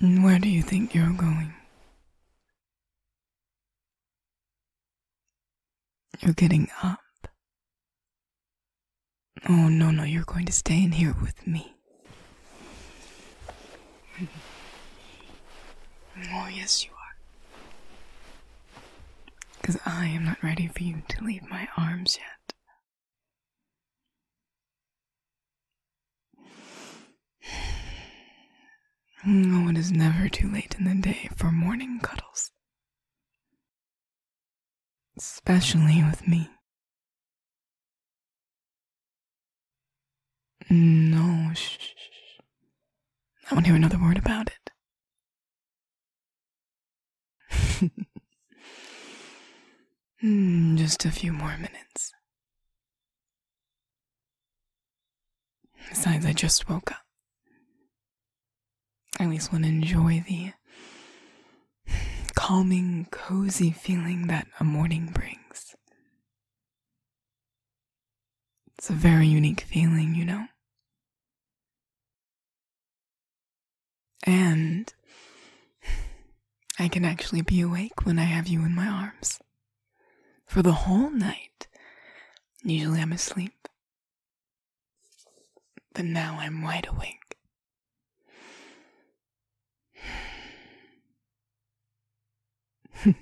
Where do you think you're going? You're getting up. Oh, no, no, you're going to stay in here with me. Oh, yes, you are. Because I am not ready for you to leave my arms yet. Oh, it is never too late in the day for morning cuddles. Especially with me. No, shh. I won't hear another word about it. Hmm, just a few more minutes. Besides, I just woke up. I at least want to enjoy the calming, cozy feeling that a morning brings. It's a very unique feeling, you know. And I can actually be awake when I have you in my arms. For the whole night, usually I'm asleep. But now I'm wide awake.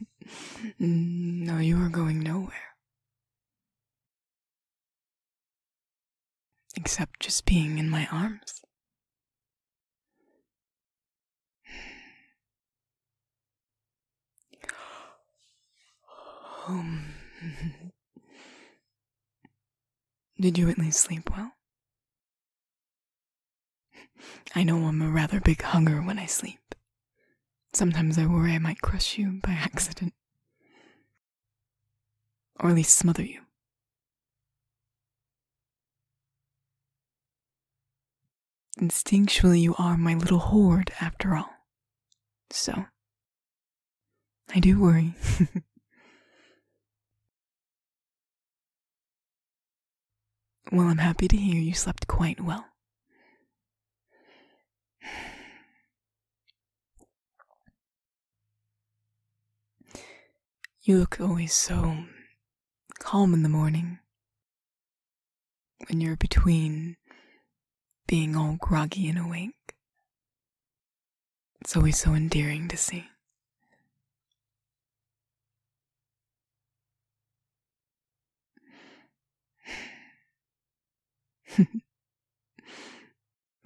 no, you are going nowhere. Except just being in my arms. Um, did you at least sleep well? I know I'm a rather big hugger when I sleep. Sometimes I worry I might crush you by accident. Or at least smother you. Instinctually, you are my little hoard, after all. So, I do worry. Well, I'm happy to hear you slept quite well. You look always so calm in the morning when you're between being all groggy and awake. It's always so endearing to see.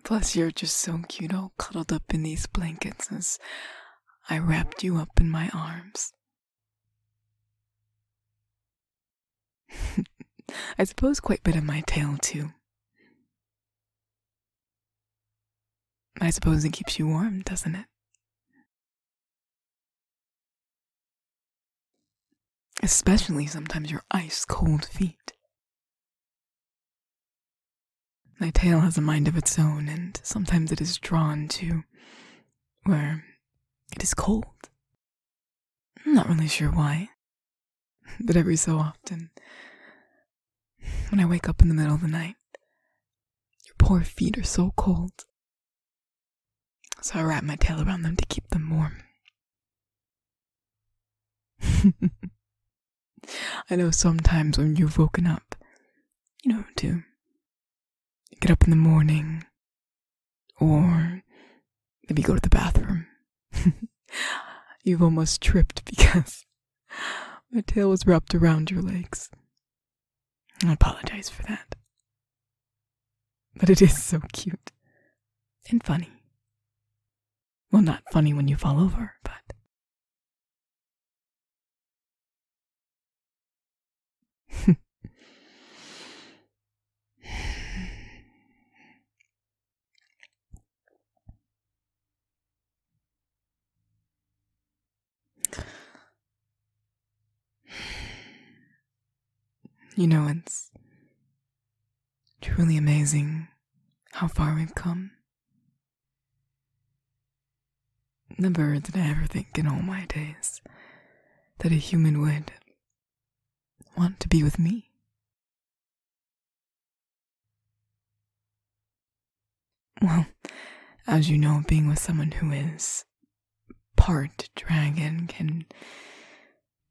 Plus, you're just so cute, all cuddled up in these blankets as I wrapped you up in my arms. I suppose quite a bit of my tail, too. I suppose it keeps you warm, doesn't it? Especially sometimes your ice cold feet. My tail has a mind of its own, and sometimes it is drawn to where it is cold. not really sure why, but every so often, when I wake up in the middle of the night, your poor feet are so cold. So I wrap my tail around them to keep them warm. I know sometimes when you've woken up, you know, to get up in the morning or maybe go to the bathroom, you've almost tripped because my tail was wrapped around your legs. I apologize for that. But it is so cute and funny. Well, not funny when you fall over, but. You know, it's truly amazing how far we've come. Never did I ever think in all my days that a human would want to be with me. Well, as you know, being with someone who is part dragon can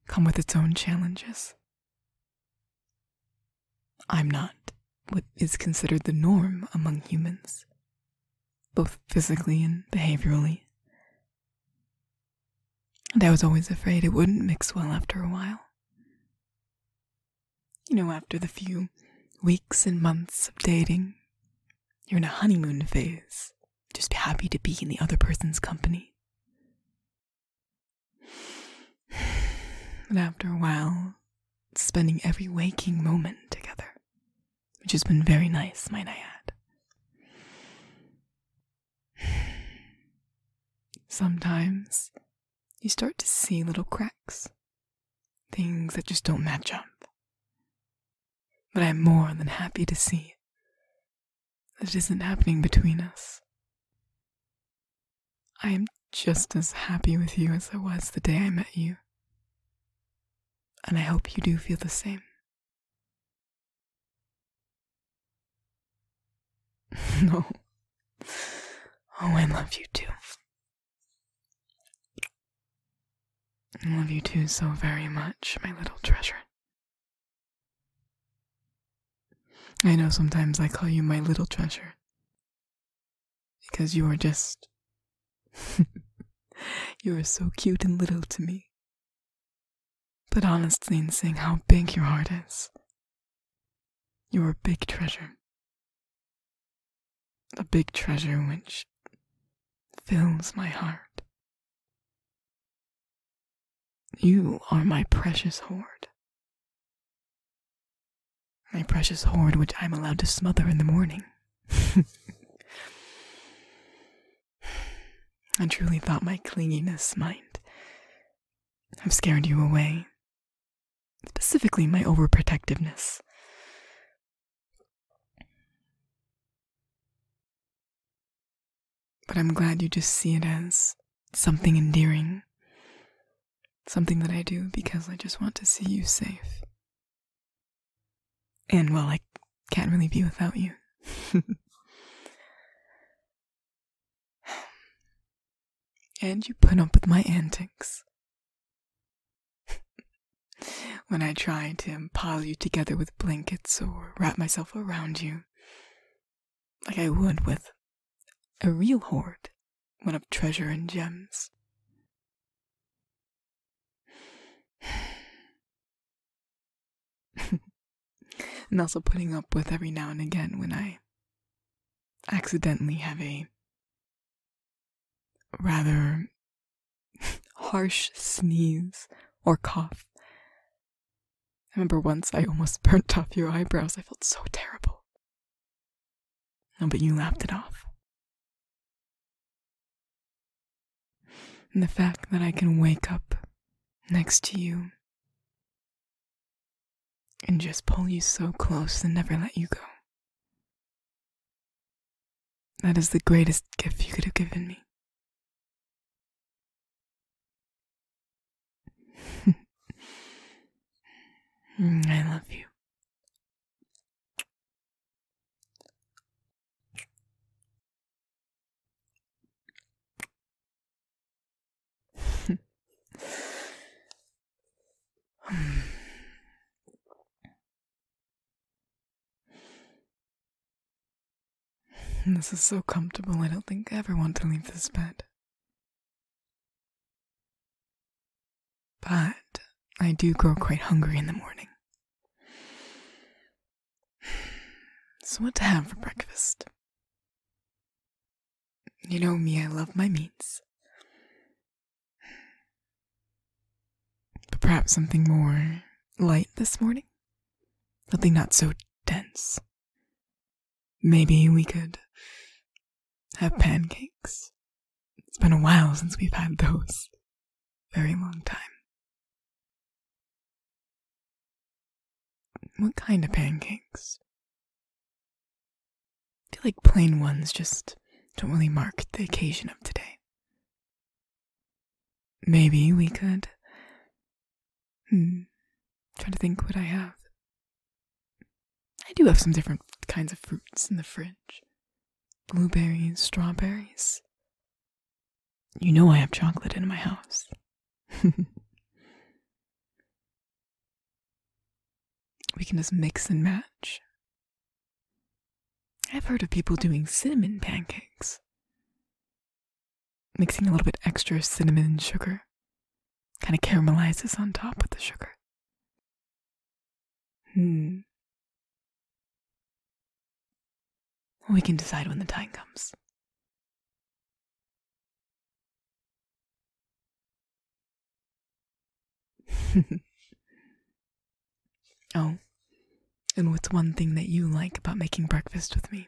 come with its own challenges. I'm not what is considered the norm among humans, both physically and behaviorally. And I was always afraid it wouldn't mix well after a while. You know, after the few weeks and months of dating, you're in a honeymoon phase. Just happy to be in the other person's company. And after a while, spending every waking moment together, which has been very nice, might I add. Sometimes you start to see little cracks Things that just don't match up. But I'm more than happy to see that it isn't happening between us. I am just as happy with you as I was the day I met you. And I hope you do feel the same. no. Oh, I love you too. I love you too so very much, my little treasure. I know sometimes I call you my little treasure because you are just. you are so cute and little to me. But honestly, in seeing how big your heart is, your big treasure. the big treasure which fills my heart. You are my precious hoard. My precious hoard which I'm allowed to smother in the morning. I truly thought my clinginess might have scared you away Specifically, my overprotectiveness. But I'm glad you just see it as something endearing. Something that I do because I just want to see you safe. And well, I can't really be without you. and you put up with my antics. when I try to pile you together with blankets or wrap myself around you, like I would with a real hoard, one of treasure and gems. and also putting up with every now and again when I accidentally have a rather harsh sneeze or cough. I remember once I almost burnt off your eyebrows. I felt so terrible. No, but you laughed it off. And the fact that I can wake up next to you and just pull you so close and never let you go. That is the greatest gift you could have given me. I love you. This is so comfortable, I don't think I ever want to leave this bed. But I do grow quite hungry in the morning. So, what to have for breakfast? You know me, I love my meats. But perhaps something more light this morning? something not so dense. Maybe we could have pancakes. It's been a while since we've had those. Very long time. What kind of pancakes? I feel like plain ones just don't really mark the occasion of today. Maybe we could. Hmm. Try to think what I have. I do have some different kinds of fruits in the fridge blueberries, strawberries. You know I have chocolate in my house. we can just mix and match. I've heard of people doing cinnamon pancakes. Mixing a little bit extra cinnamon sugar. Kind of caramelizes on top with the sugar. Hmm. We can decide when the time comes. oh, and what's one thing that you like about making breakfast with me?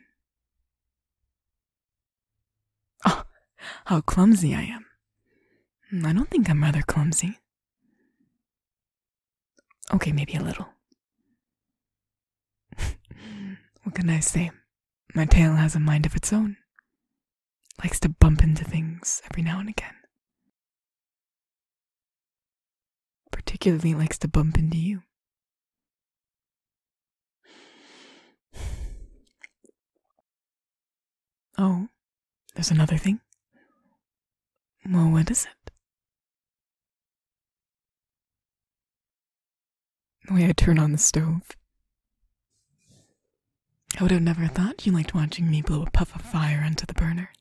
Oh, how clumsy I am. Hmm, I don't think I'm rather clumsy. Okay, maybe a little what can I say? My tail has a mind of its own. Likes to bump into things every now and again. Particularly likes to bump into you. Oh, there's another thing. Well, what is it? The way I turn on the stove. I would have never thought you liked watching me blow a puff of fire onto the burner.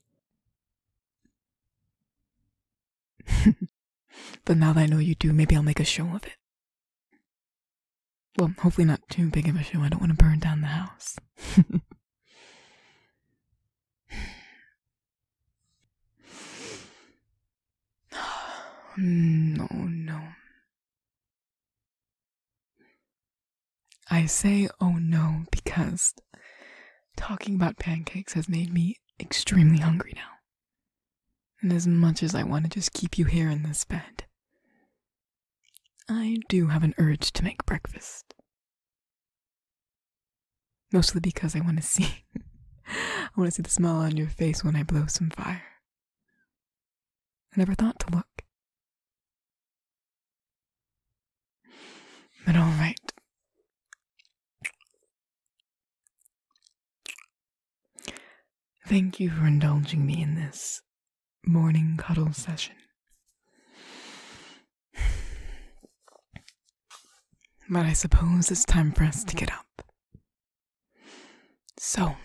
but now that I know you do, maybe I'll make a show of it. Well, hopefully not too big of a show. I don't want to burn down the house. No, no. I say oh no because talking about pancakes has made me extremely hungry now. And as much as I want to just keep you here in this bed, I do have an urge to make breakfast. Mostly because I want to see I want to see the smile on your face when I blow some fire. I never thought to look. But all right. Thank you for indulging me in this morning cuddle session. But I suppose it's time for us to get up. So,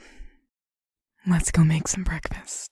let's go make some breakfast.